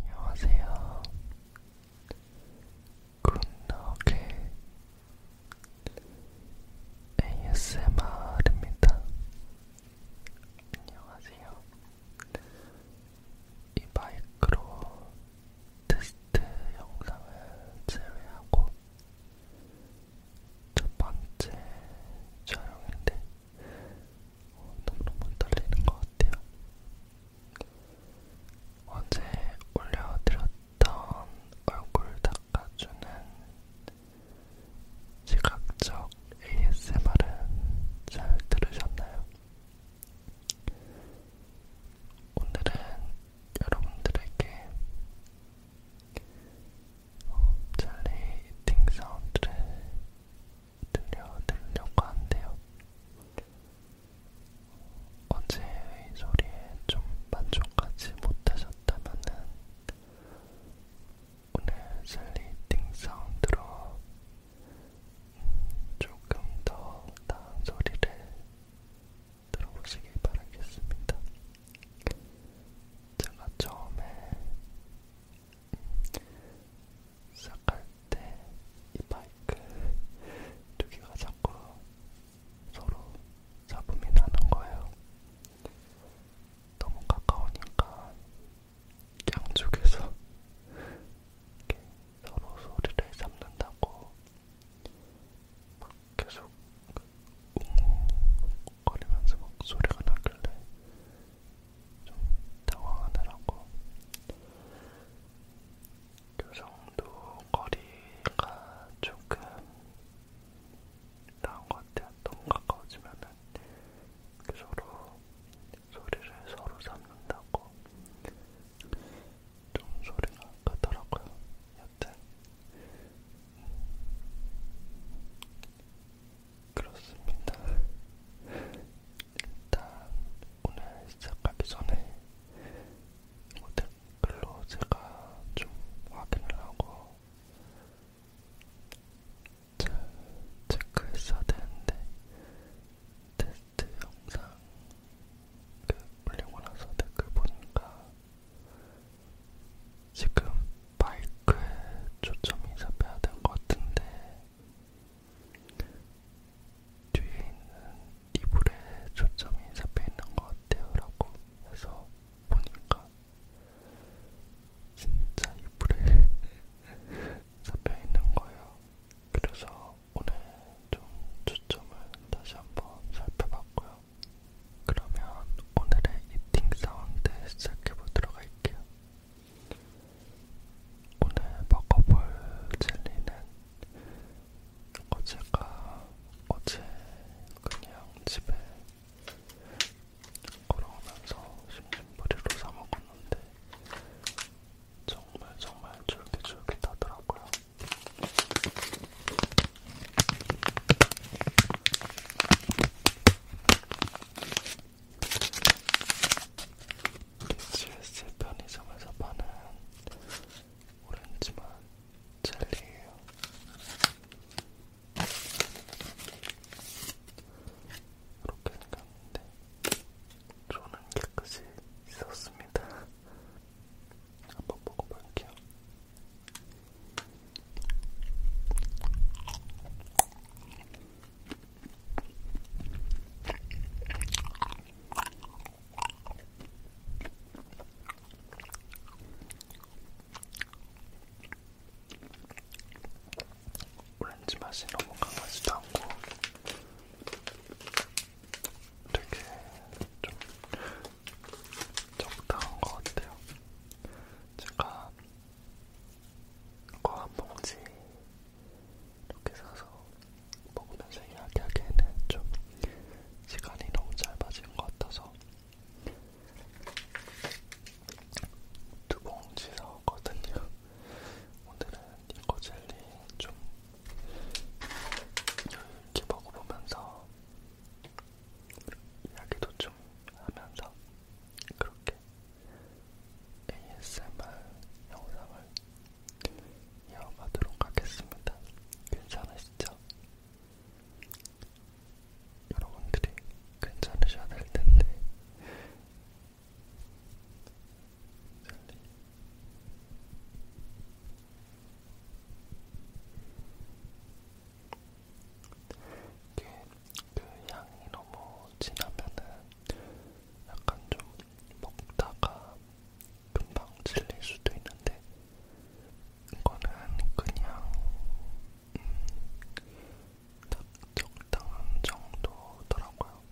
안녕하세요. 굿노게 ASMR입니다. 안녕하세요. 이 마이크로 테스트 영상을 제외하고 첫 번째 촬영인데 어, 너무너무 떨리는 것 같아요. 어제 올려드렸던 얼굴 닦아주는 지각적 ASMR은 잘 들으셨나요? 오늘은 여러분들에게 어, 젤리 이팅 사운드를 들려드리려고 한데요. 어제의 소리에 좀 만족하지 못하셨다면은 오늘 젤리팅 사운드로 조금 더 나은 소리를 들어보시길 바라겠습니다. 제가 처음에 시작할 때이 마이크 두 개가 자꾸 서로 잡음이 나는 거예요. 너무 가까우니까 양쪽에서 이렇게 서로 소리를 잡는다고 막 계속 웅웅거리면서 막 소리가 나길래 좀 당황하더라고. 교정도 그 거리가 조금 나은 것 같아요. 너무 가까워지면은 그 서로 소리를 서로 잡는다고 좀 소리가 크더라고요. 같아. 그렇습니다. 일단 오늘 시작하기 전에 이거 댓글로 제가 좀 확인을 하고 잘 체크했어야 되는데 테스트 영상 그 올리고 나서 댓글 보니까 지금 마이크에 초점이 잡혀야 될것 같은데 뒤에 있는 이불에 초점이 잡혀 있는 것 같아요라고 해서 보니까 진짜 이불에 잡혀 있는 거예요. 그래서 오늘 좀 초점을 다시 한번 살펴봤고요. 그러면 오늘의 이팅 사운드 시작해보도록 할게요. 오늘 먹어볼 젤리는 어제가 어제 그냥 집에 걸어오면서 심심풀이로 사먹었는데 정말 정말 쫄깃쫄깃하더라고요. GS 편의점에서 파는 오렌지맛 젤리예요. 이렇게 생겼는데 저는 깨끗이 씻었습니다. 한번 먹어볼게요. 오렌지 맛이 너무 강하지도 않고 되게 좀 적당한 것 같아요. 제가 거한 봉지 이렇게 사서 먹으면서 이야기하기에는 좀 시간이 너무 짧아진 것 같아서 두 봉지 사왔거든요. 오늘은 이거 젤리 좀 여유있게 먹어보면서 이야기도 좀 하면서 그렇게 ASMR 영상을 이어가도록 하겠습니다. 괜찮으시죠? 여러분들이 괜찮으셔야 될 텐데. 이게 그 향이 너무 진하면은 약간 좀 먹다가 금방 질릴 수도 있는데 이거는 그냥 음, 딱 적당한 정도더라고요.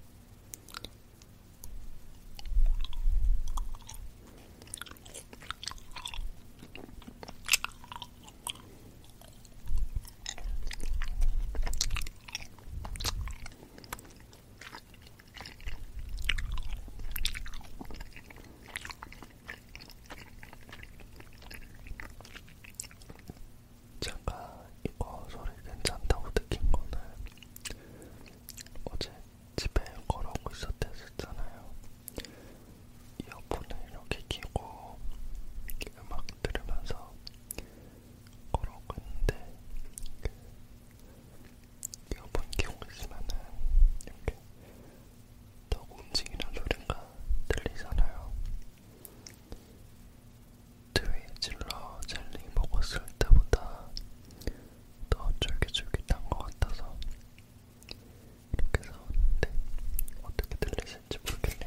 제가 이거 소리 괜찮다고 느낀 거는 어제 집에 걸어오고 있었댔었잖아요. 이어폰을 이렇게 끼고 음악 들으면서 걸어오고 있는데 그 이어폰 끼고 있으면은 이렇게 더 움직이는 소리가 들리잖아요. 트위질러 젤리 먹었을 때보다 더 쫄깃쫄깃한 것 같아서 이렇게 사왔는데 어떻게 들리실지 모르겠네요.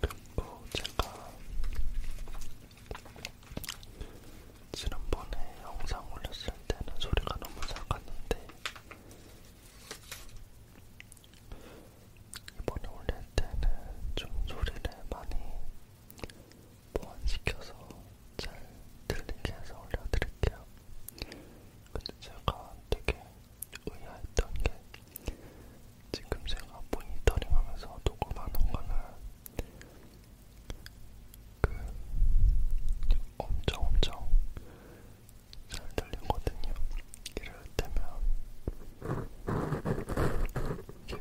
그리고 제가 지난번에 영상 올렸을 때는 소리가 너무 작았는데 이번에 올릴 때는 좀 소리를 많이 보완시켜서 잘 들리게 해서 올려드릴게요. 근데 제가 되게 의아했던 게 지금 제가 모니터링 하면서 녹음하는 거는 그 엄청 엄청 잘 들리거든요. 이럴 때면 이게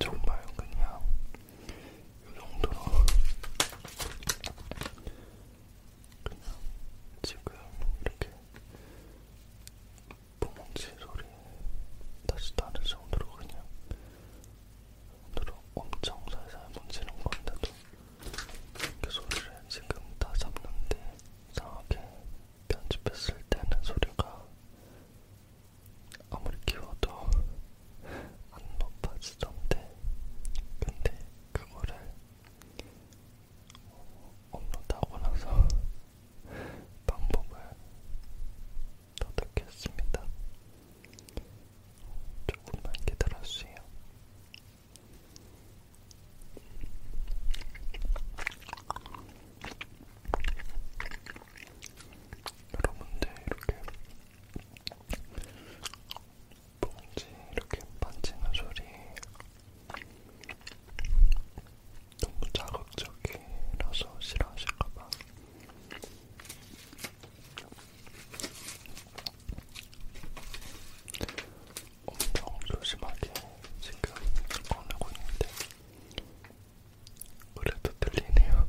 정말 그냥 이 정도로 그냥 지금 이렇게 뽕뭉치 소리 다시 다른 정도로 그냥 정도로 엄청 살살 문지는 건데도 그 소리를 지금 다 잡는데 이상하게 편집했을 때는 소리가 아무리 키워도 안 높아지던데 근데 그거를 업로드하고 나서 방법을 터득했습니다. 조금만 기다려주세요. 여러분들 이렇게 뭔지 이렇게 반지는 소리 너무 자극적이라서 싫어하실까봐 엄청 조심하게 지금 꺼내고 있는데 그래도 들리네요.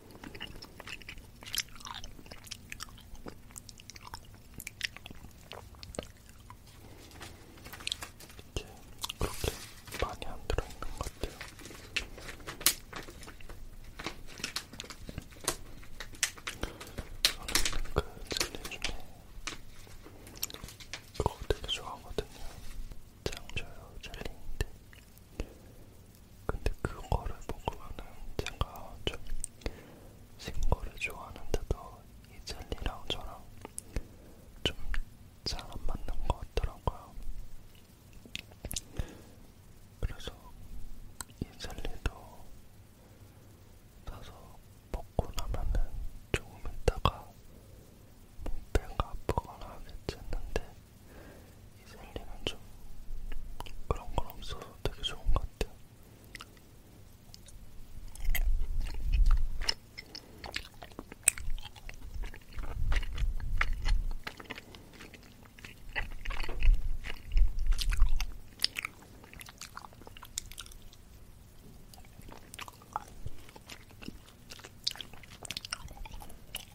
이게 그렇게 많이 안 들어있는 것 같아요. 저는 그 젤리 중에 그거 되게 좋아하거든요. 장조요 젤리인데 근데 그거를 먹으면은 제가 좀 신거를 좋아하는데도 이 젤리랑 저랑 좀 잘 안 맞는 것 같더라고요. 그래서 이 젤리도 사서 먹고 나면은 조금 있다가 뭐 배가 아프거나 하겠지 했는데 이 생리는 좀 그런 건 없어서 되게 좋은 것 같아요.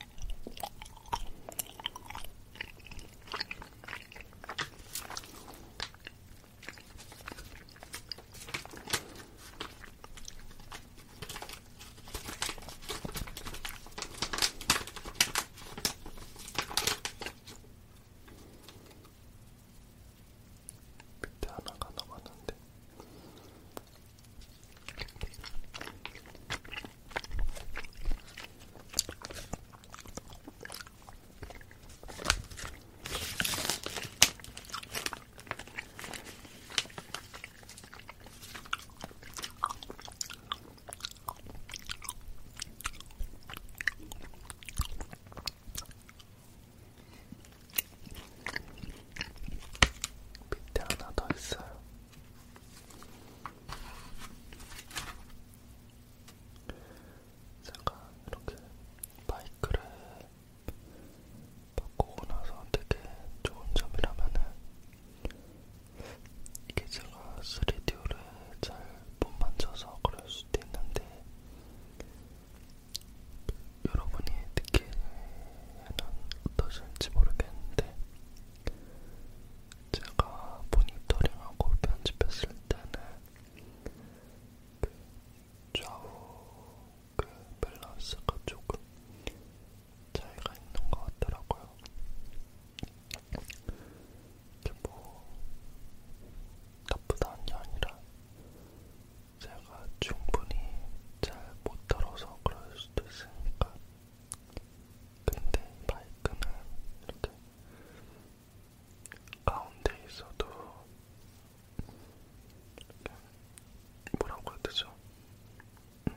밑에 하나가 남았는데 밑에 하나 더 있어요. 제가 이렇게 바이크를 바꾸고 나서 되게 좋은 점이라면은 이게 제가 3D를 잘 못 만져서 그럴 수도 있는데 여러분이 느끼는 어떠실지 모르겠는데 제가 모니터링하고 편집했을 때는 그 좌우 그 밸런스가 조금 차이가 있는 것 같더라고요. 이게 뭐 나쁘다는 게 아니라 제가 충분히 잘 못 들어서 그럴 수도 있으니까 근데 이 마이크는 이렇게 가운데 있어도 이렇게 뭐라고 해야 되죠? 음.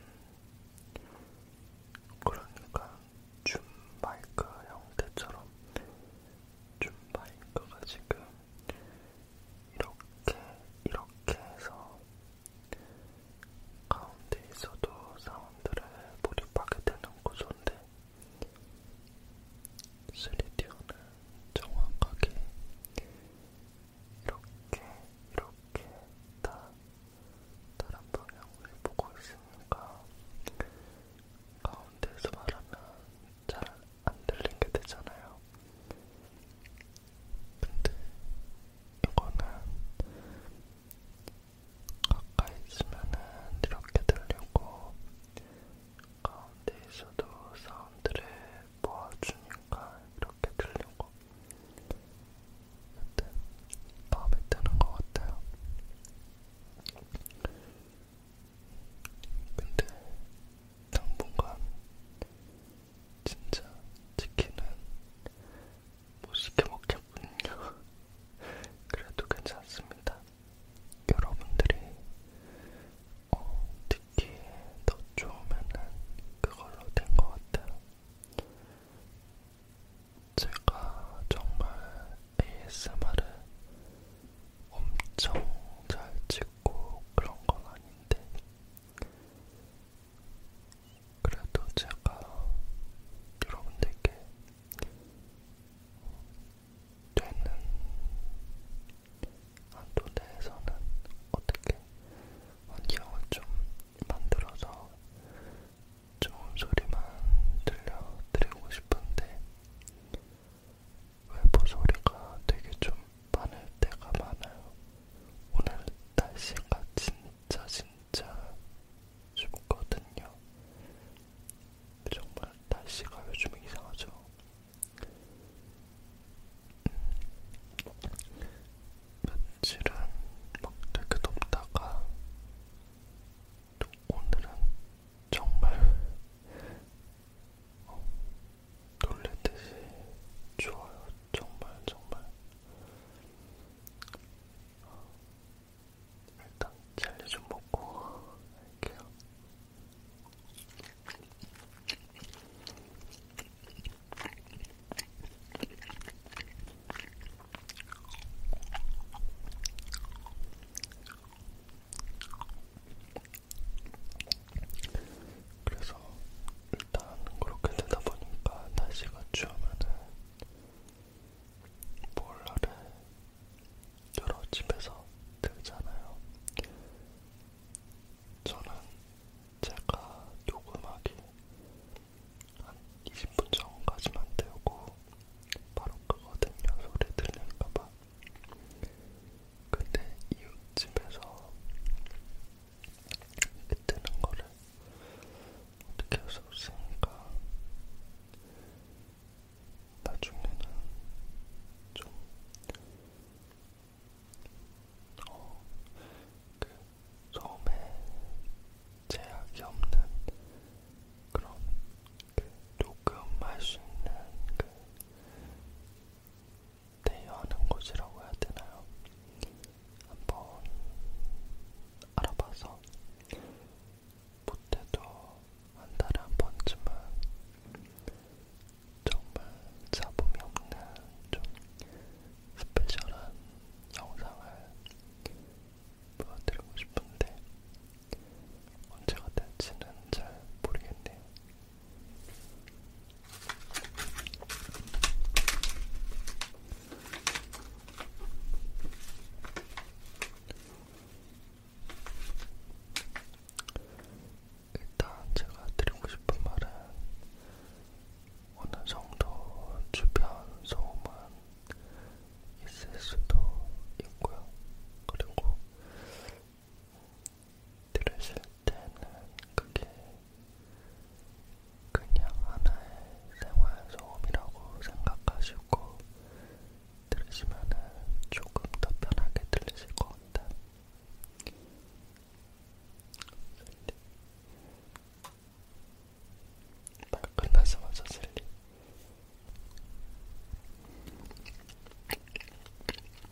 그러니까 줌 마이크 형태처럼 줌 마이크가 지금 이렇게 이렇게 해서 가운데 있어도 사운드를 몰입하게 되는 구조인데 3D어는 정확하게 이렇게 이렇게 다 다른 방향을 보고 있으니까 가운데에서 말하면 잘 안 들리게 되잖아요. 근데 이거는 가까이 있으면은 이렇게 들리고 가운데 있어도 사운드를 모아주니까 이렇게 들리고 여튼 마음에 드는 것 같아요. 근데 당분간 진짜 치킨은 못 시켜 먹겠군요. 그래도 괜찮습니다. 여러분들이 어, 듣기에 더 좋으면은 그걸로 된 것 같아요. 제가 정말 ASMR을 엄청 잘 찍고 그런 건 아닌데 그래도 제가 여러분들께 되는 한도 내에서는 어떻게 환경을 좀 만들어서 좋은 소리만 들려드리고 싶은데 외부 소리가 되게 좀 많을 때가 많아요. 오늘 날씨가 진짜 진짜 춥거든요. 정말 날씨가 요즘 이상하죠. 음, 며칠은 막 되게 덥다가 또 오늘은 정말 어, 놀랄 듯이 좋아요. 정말 정말 일단 젤리 좀 먹고 할게요. 그래서 일단 그렇게 되다 보니까 날씨가 추우면은 몰라를 여러 집에서 들잖아요. 저는 제가 녹음하기 한 20분 전까지만 태우고 바로 끄거든요. 소리 들릴까봐. 근데 이웃집에서 이렇게 뜨는 거를 어떻게 할수 없으니까 나중에는 좀 어, 그 처음에 제약이 없는 그런 그 녹음할 수 있는 그 대여하는 곳이라고 해야 되나요? 한번 알아봐서 못해도 한 달에 한 번쯤은 정말 잡음이 없는 좀 스페셜한 영상을 보여드리고 싶은데 언제가 될지는 잘 모르겠네요. 일단 제가 드리고 싶은 말은 어느 정도 주변 소음은 있을 수도 있고요. 그리고 들으실 때는 그게 그냥 하나의 생활소음이라고 생각하시고 들으시면은 조금 더 편하게 들리실 것 같아요. 말 끝나자마자 슬리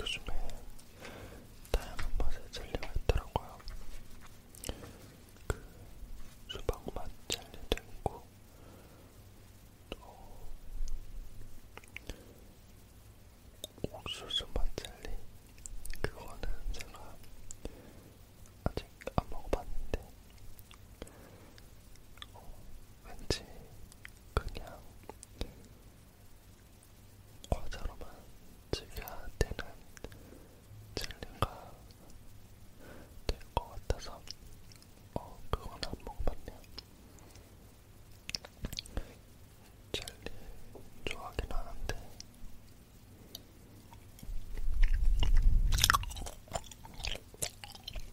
요즘에 다양한 맛에 젤리가 있더라고요. 그 수박맛 젤리도 있고 또 옥수수맛 젤리 그거는 제가 아직 아직 안 먹어봤는데 어, 왠지 그냥 과자로만 즐겨야 되는 젤리가 될 것 같아서 어, 그건 안 먹어봤네요. 젤리 좋아하긴 하는데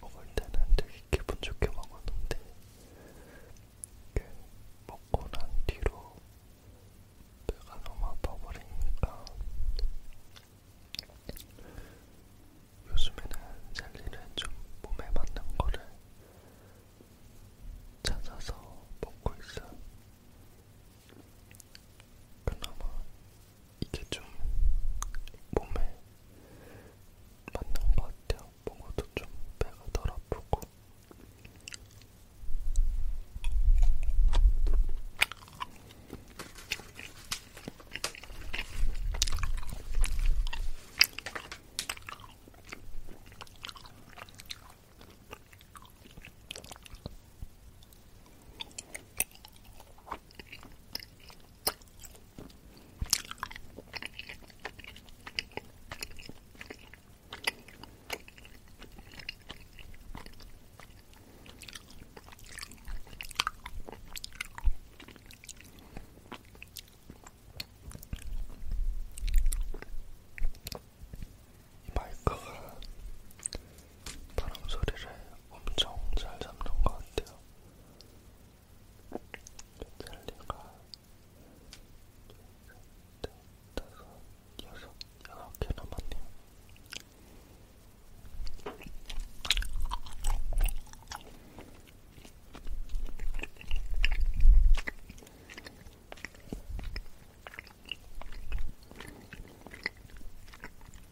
먹을 때는 되게 기분 좋게 먹었는데 먹고 난 뒤로 배가 너무 아파버리니까 요즘에는 젤리를 좀 몸에 맞는 거를 찾아서 먹고 있어요. 그나마 이게 좀 몸에 맞는 것 같아요. 먹어도 좀 배가 덜 아프고. 마이크가 바람 소리를 엄청 잘 잡는 것 같아요. 찰리가 네, 다섯, 여섯, 여섯 개 남았네요.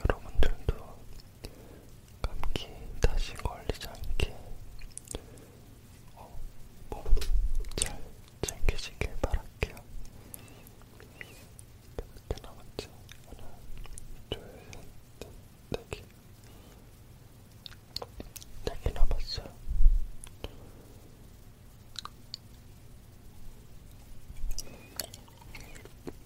여러분들도 감기 다시 걸리지 않게 어, 몸잘 챙기시길 바랄게요. 몇 개 남았지? 하나, 둘, 셋, 네 개. 네개 남았어요.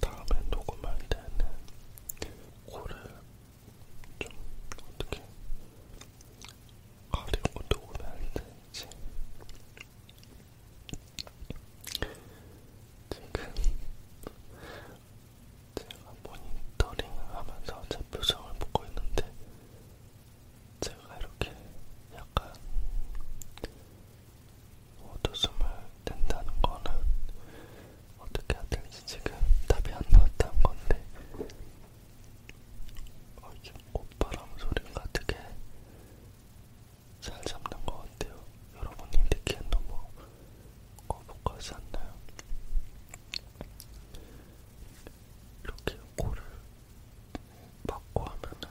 다음에 녹음할 때는 코를 좀 어떻게 가리고 녹음해야 될지 지금 제가 모니터링을 하면서 제 표정을 보고 있는데 제가 이렇게 약간 어두숨을 낸다는 거는 어떻게 해야 될지 지금 답이 안 나왔다는 건데 어, 이게 꽃바람 소리가 되게 잘 잡는 것 같아요. 여러분이 느끼기엔 너무 거북하지 않나요? 이렇게 코를 받고 하면은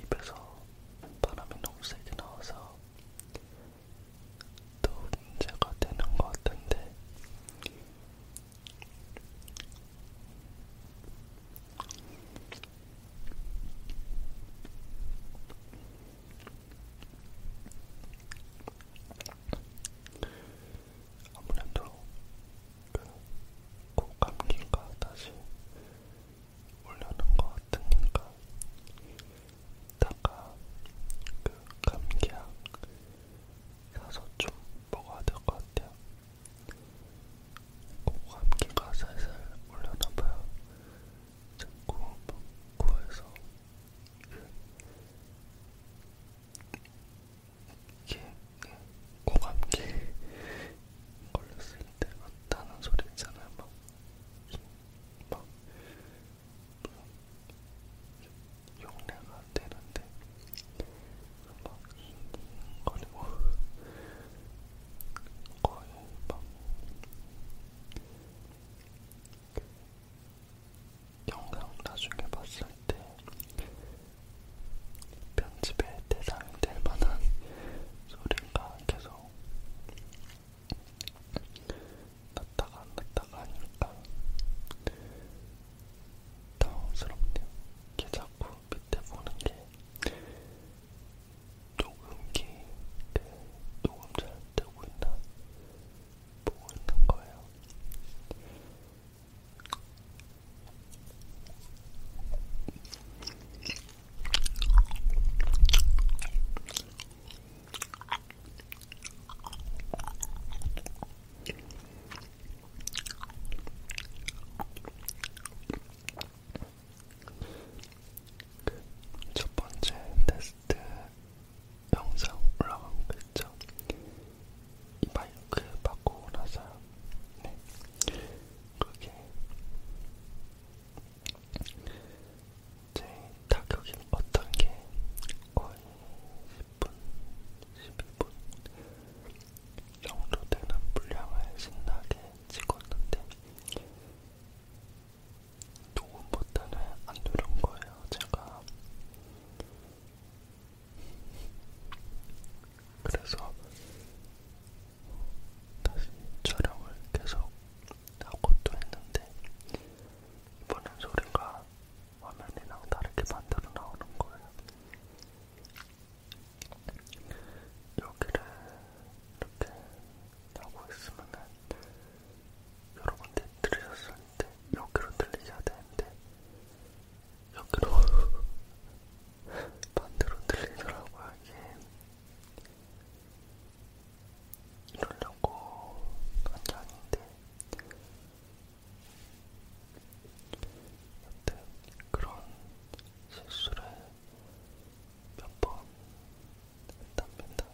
입에서 바람이 너무 세게 나와서 또 문제가 되는 것 같은데 아무래도 그 코감기가 다시 올려는 것 같으니까 이따가 그 감기약 사서 좀 먹어야 될 것 같아요. 코감기가 살살 올려나봐요. 자꾸 막 뭐 코에서 이게 예, 고감기 걸렸을 때 맞다는 소리 있잖아요. 막, 막 용례가 되는데 막 거리고 거의 막 영상 나중에 봤을 때 편집의 대상이 될 만한 소리가 계속 났다가 안 났다가 하니까 당황스럽네요. 이게 자꾸 밑에 보는 게 녹음기 그 녹음 잘 되고 있나 보고 있는 거예요. 첫 번째 테스트 영상 올라가고 그랬죠? 이 마이크 바꾸고 나서요. 네. 그게 제 타격이 어떤 게 거의 10분, 12분 정도 되는 분량을 신나게 찍었는데 녹음 버튼을 안 누른 거예요. 제가 그래서 다시 촬영을 계속 하고 또 했는데 이번엔 소리가 화면이랑 다르게 반대로 나오는 거예요. 여기를 이렇게 하고 있으면은 여러분들 들으셨을 되는데 여기로 들리셔야 되는데 여기로 반대로 들리더라고요 이게 이러려고 한게 아닌데 여튼 그런 실수를 몇 번 했답니다.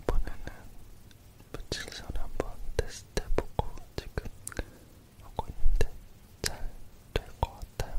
이번에는 묻질소를 한번 테스트해보고 지금 하고 있는데 잘 될 것 같아요.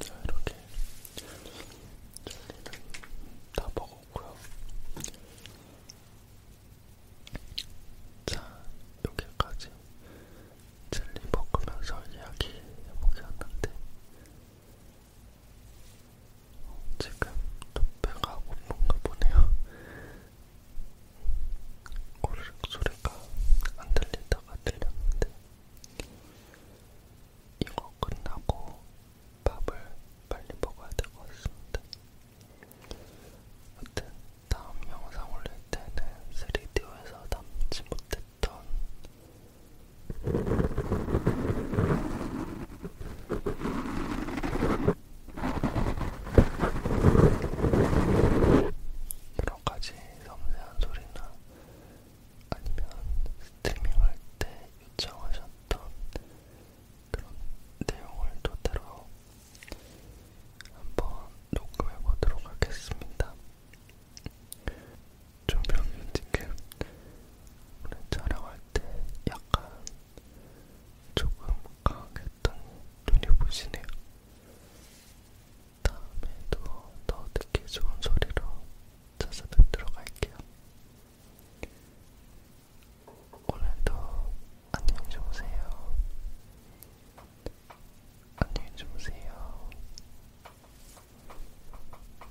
자, 이렇게 젤리는 다 먹었고요. 자, 여기까지 젤리 먹으면서 이야기 해보게 하는데 지금 뚝배가 고픈가 보네요. 고르륵 소리가 안 들리다가 들렸는데 이거 끝나고 밥을 빨리 먹어야 될것 같습니다. 여튼 다음 영상 올릴 때는 3D에서 남지 못했던 여러가지 섬세한 소리나 아니면 스트리밍할 때 요청하셨던 그런 내용을 토대로 한번 녹음해 보도록 하겠습니다. 조명 지금 오늘 촬영할 때 약간 조금 강했던 눈이 보시네요. 다음에도 더 듣기 좋은 소리로 찾아뵙도록 할게요. 오늘도 안녕히 주무세요. 안녕히 주무세요.